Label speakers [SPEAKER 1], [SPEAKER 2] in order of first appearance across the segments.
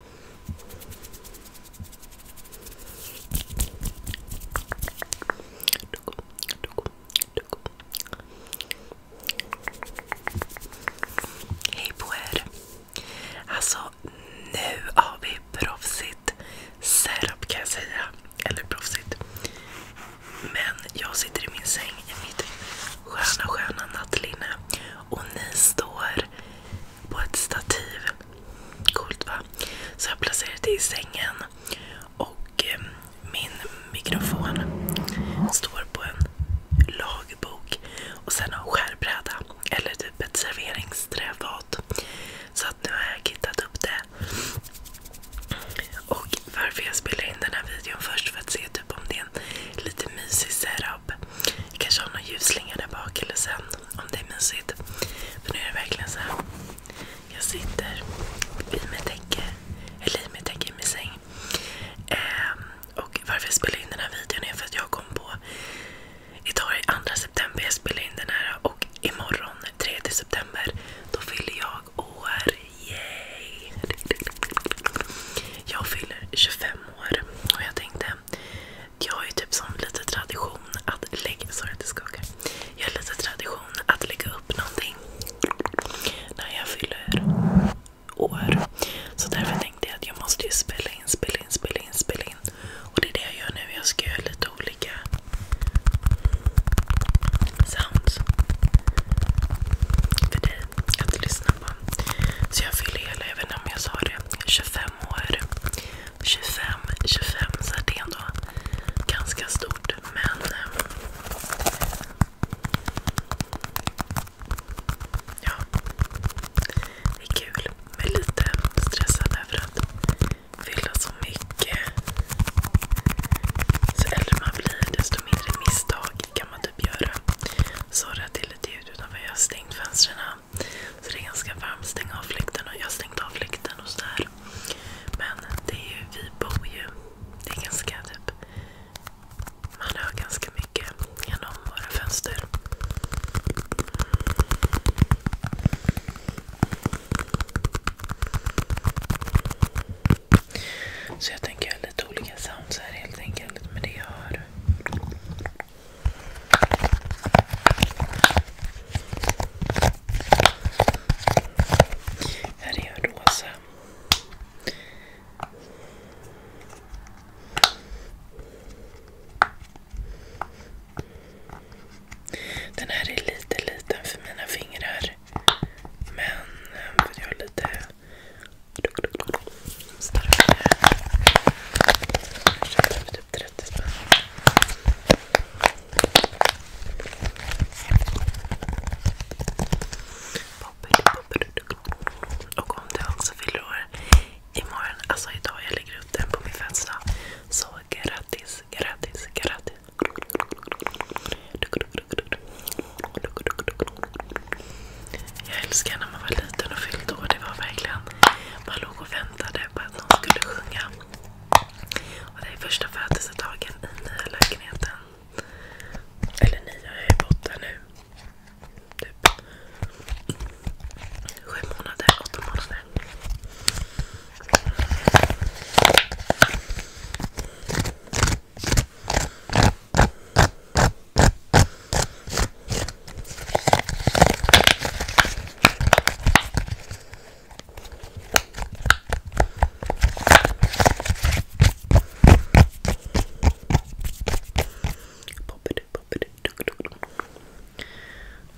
[SPEAKER 1] Hej på er! Alltså nu har vi proffsigt setup kan jag säga. Eller proffsigt. Men jag sitter i min säng i mitt sköna sköna nattlinne och ni står här på ett stativ. Coolt va? Så jag placerade det i sängen. Och eh, min mikrofon står på en lagbok och sen en skärbräda. Eller typ ett serveringsträfat. Så att nu har jag kittat upp det. Och varför jag spelar in den här videon först för att se typ om det är en lite mysig setup. Jag kanske har några ljusslingar där bak eller sen om det är mysigt. För nu är det verkligen så här. Jag sitter i mitt täcke, eller i mitt täcke i min säng. Ehm, och varför jag spelar in den här videon är för att jag kom på idag är 2 september jag spelar in den här och imorgon 3 september då fyller jag år. Yay! Jag fyller 25 år och jag tänkte jag har ju typ som lite tradition att lägga... Sorry att det skakar. Jag har lite tradition att lägga upp någonting när jag fyller år. Så därför tänkte jag att jag måste ju spela in, spela in, spela in, spela in. Och det är det jag gör nu. Jag ska göra lite olika sounds för dig att lyssna på. Så jag fyller hela, jag vet inte om jag sa det, 25 25, 25 så det är ändå ganska stort. Men eh, ja, det är kul. Men lite stressad över att fylla så mycket. Så äldre man blir desto mindre misstag kan man typ göra. Sorry att det är ljud utanför. Jag har stängt fönstren. Så det är ganska varmt. Stäng av fläkten. Och jag har stängt av fläkten och sådär. Men det är ju, vi bor ju... Det är ganska typ... Man hör ganska mycket genom våra fönster. Så jag tänker göra lite olika sounds här helt enkelt Men det jag hör. Här är jag rosa. Alltså. Den här är lite liten för mina fingrar. Men eh, för jag har lite... Starkare. Jag köpte för typ 30 spänn. om du också fyller år imorgon, alltså idag, jag lägger ut den på min födelsedag. Så grattis, grattis, grattis. Jag älskar när man var liten och fyllde år. Det var verkligen man låg och väntade på att någon skulle sjunga. Och det är första födelsedagen i nya lägenheten. Eller nya, jag har bott där nu. Typ. Sju månader, åtta månader.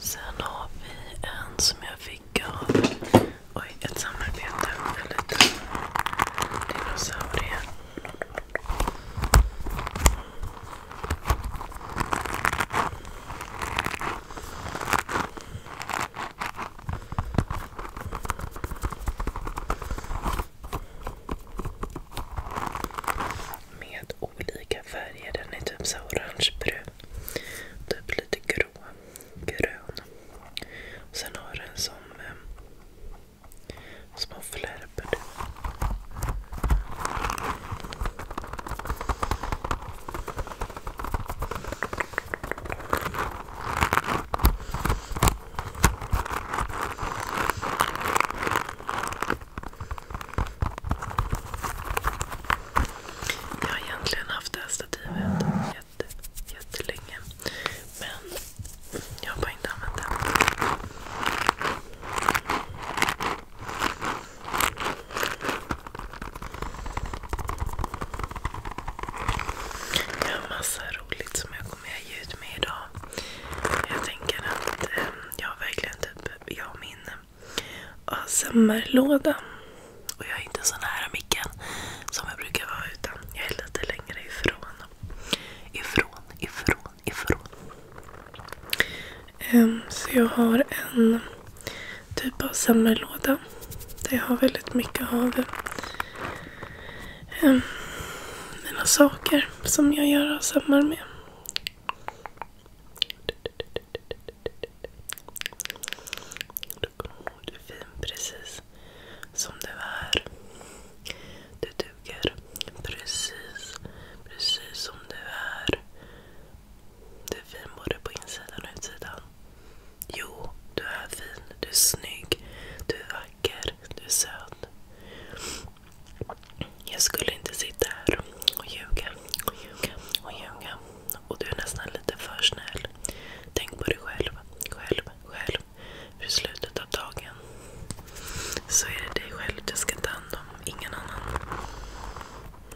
[SPEAKER 1] Sen har vi en som jag fick av oj, ett samarbete med en liten dinosaurie. Med olika färger. Den är typ så orangebrun. Typ lite grå. Grön. sen har den som eh, små flärpor. Jag har egentligen haft det här stativet jätte, jättelänge. Men jag har bara inte använt det. Jag har massa roligt som jag kommer ge ut med idag. Jag tänker att ehm, jag har verkligen typ, jag min ASMR-låda. Och jag är inte så nära micken som jag brukar vara utan. Jag är lite längre ifrån. Ifrån, ifrån, ifrån. Ehm, så jag har en typ av samlarlåda där jag har väldigt mycket av ehm, mina saker som jag gör samlar med. Du är fin precis som du är. Du duger precis som du är. Du är fin både på insidan och utsidan. Jo, du är fin. Du är snygg. Du är vacker. Du är söt. Jag skulle inte sitta här och ljuga och ljuga och ljuga. Och du är nästan lite för snäll. Tänk på dig själv, själv, själv. För i slutet av dagen så är det dig själv du ska ta hand om, ingen annan. Och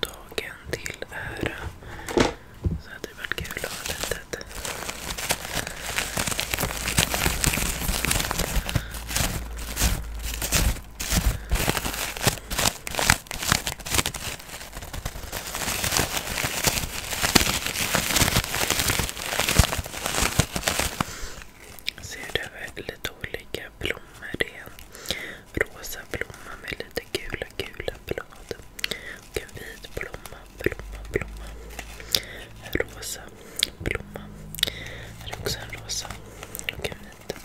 [SPEAKER 1] dagen till ära så hade det varit kul att ha litet Ser du lite olika blommor? Det är en rosa blomma med lite gula, gula blad. Och en vit blomma, blomma, blomma. En rosa blomma. Här är också en rosa och en vit.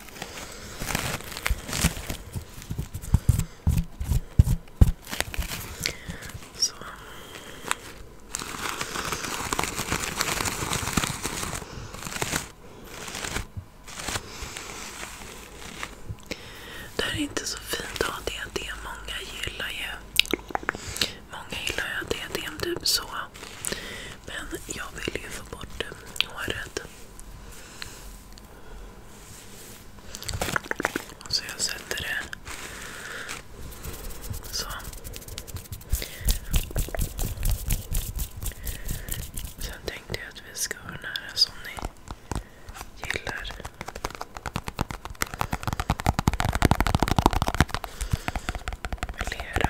[SPEAKER 1] Så. Det här är inte så fint att ha diadem. Många gillar ju Många gillar ju att diadem typ så. Men jag vill ju få bort håret. Så jag sätter det så. Sen tänkte jag att vi ska ha den här som ni gillar. Med lera.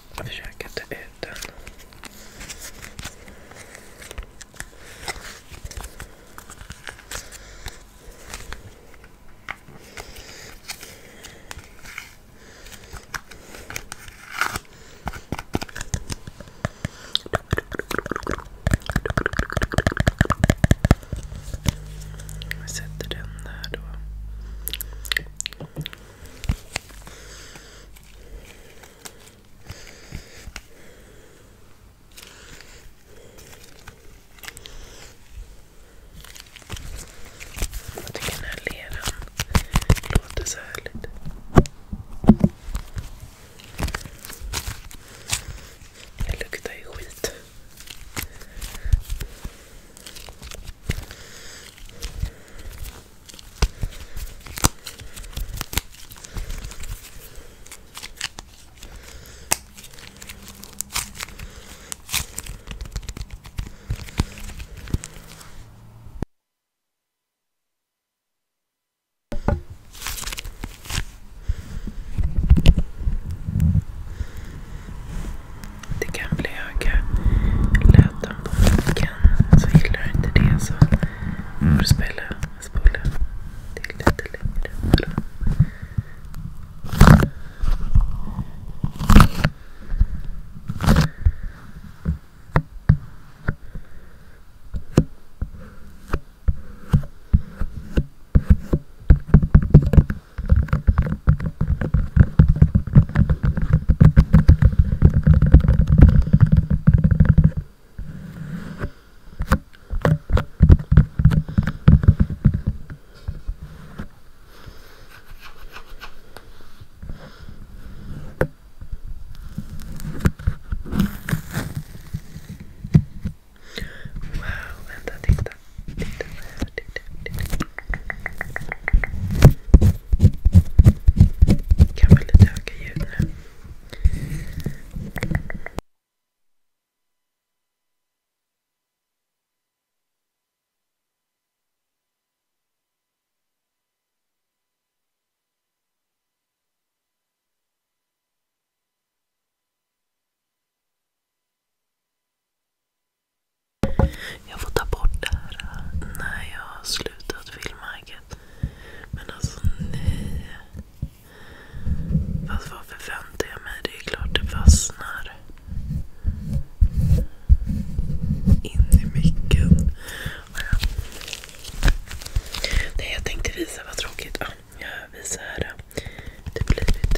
[SPEAKER 1] Försök inte ut den. Jag sätter den där då. Jag tycker den här leran låter så härligt. Det luktar ju skit. Det kan bli höga läten den på micken. Så gillar du inte det så får du spela, spola till lite längre Wow, vänta, titta. Titta här, Kan väl lite öka ljud nu. Jag får ta bort det här när jag har slutat filma, vet. Men alltså nej. Fast vad förväntar jag mig? Det är klart det fastnar. In i micken. Ah, ja. Nej, jag tänkte visa vad tråkigt. Ah, jag visar här. Det blir lite...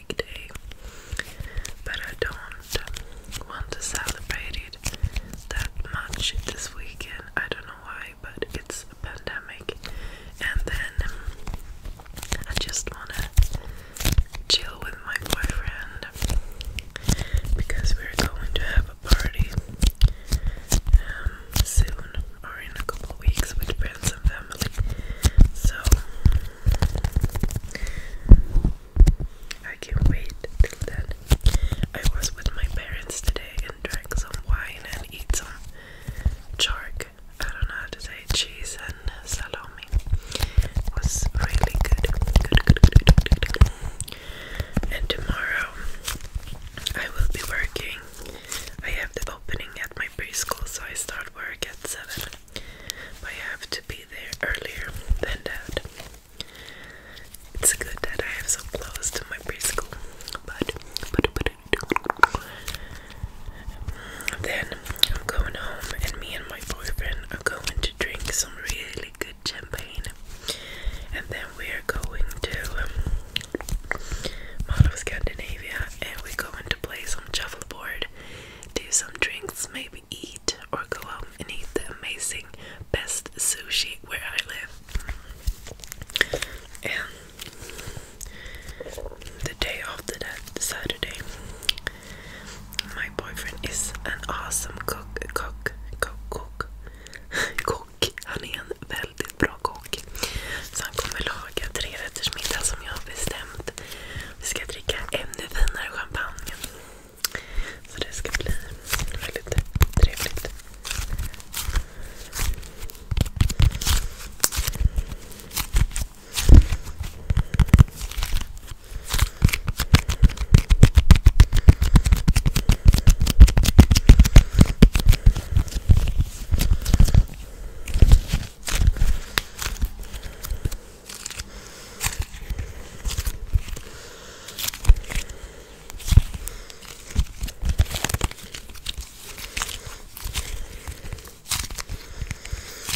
[SPEAKER 1] but I don't want to celebrate it that much this weekend. I don't know why, but it's a pandemic, and then I just wanna chill with my boyfriend because we're going to have a party um, soon or in a couple weeks with friends and family. So I can't wait till then. I was with my parents today and drank some wine and eat some chark. I don't know how to say cheese and salami. It was really good. Good, good, good, good, good, good. And tomorrow I will be working. I have the opening at my preschool, so I start work at 7. I have to be there earlier than that. It's good that I have so close to my preschool, but then I'm going home, and me and my boyfriend are going to drink some really good champagne, and then we are going to um, Mall of Scandinavia, and we're going to play some Board, do some drinks, maybe eat. eat or go home and eat the amazing best sushi where I live. And the day after that, Saturday, my boyfriend is an awesome cook, cook, cook, cook, kock. Han är en väldigt bra kock. Så han kommer laga tre som jag har bestämt. Vi ska dricka ännu finare champagne. Så det ska bli väldigt trevligt.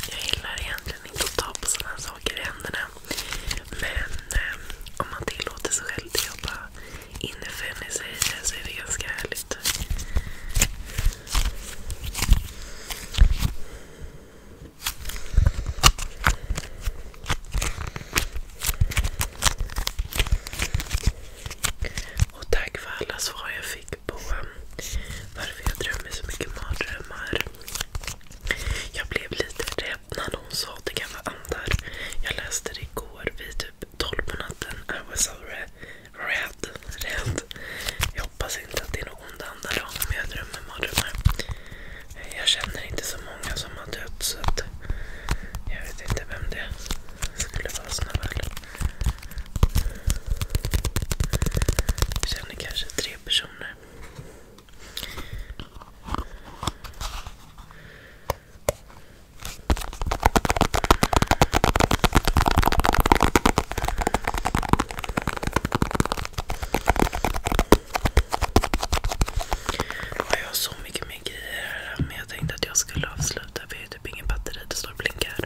[SPEAKER 1] Jag gillar egentligen inte att ta på sådana saker i händerna. Men eh, om man tillåter sig själv att jobba inifrån i sig så är det ganska härligt. Och tack för alla svar jag fick på um, varför jag drömmer så mycket mardrömmar. Jag blev lite rädd när någon sa att det kan vara andar. Jag läste det igår vid typ 12 på natten. I was so red. red. red. Jag hoppas hoppas inte att det är någon ont det handlar om. Jag drömmer mardrömmar. Jag känner inte så många som har dött så att jag vet inte vem det skulle vara snabbt. Jag känner kanske tre personer jag har så mycket mer grejer här. Men jag tänkte att jag skulle avsluta för jag har typ ingen batteri. Det står och blinkar.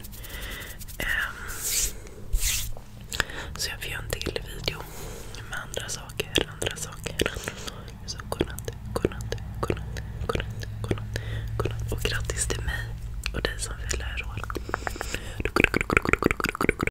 [SPEAKER 1] Ehm, så jag får göra en till video med andra saker. godnatt, godnatt, godnatt, godnatt. Och grattis till mig och dig som fyller år.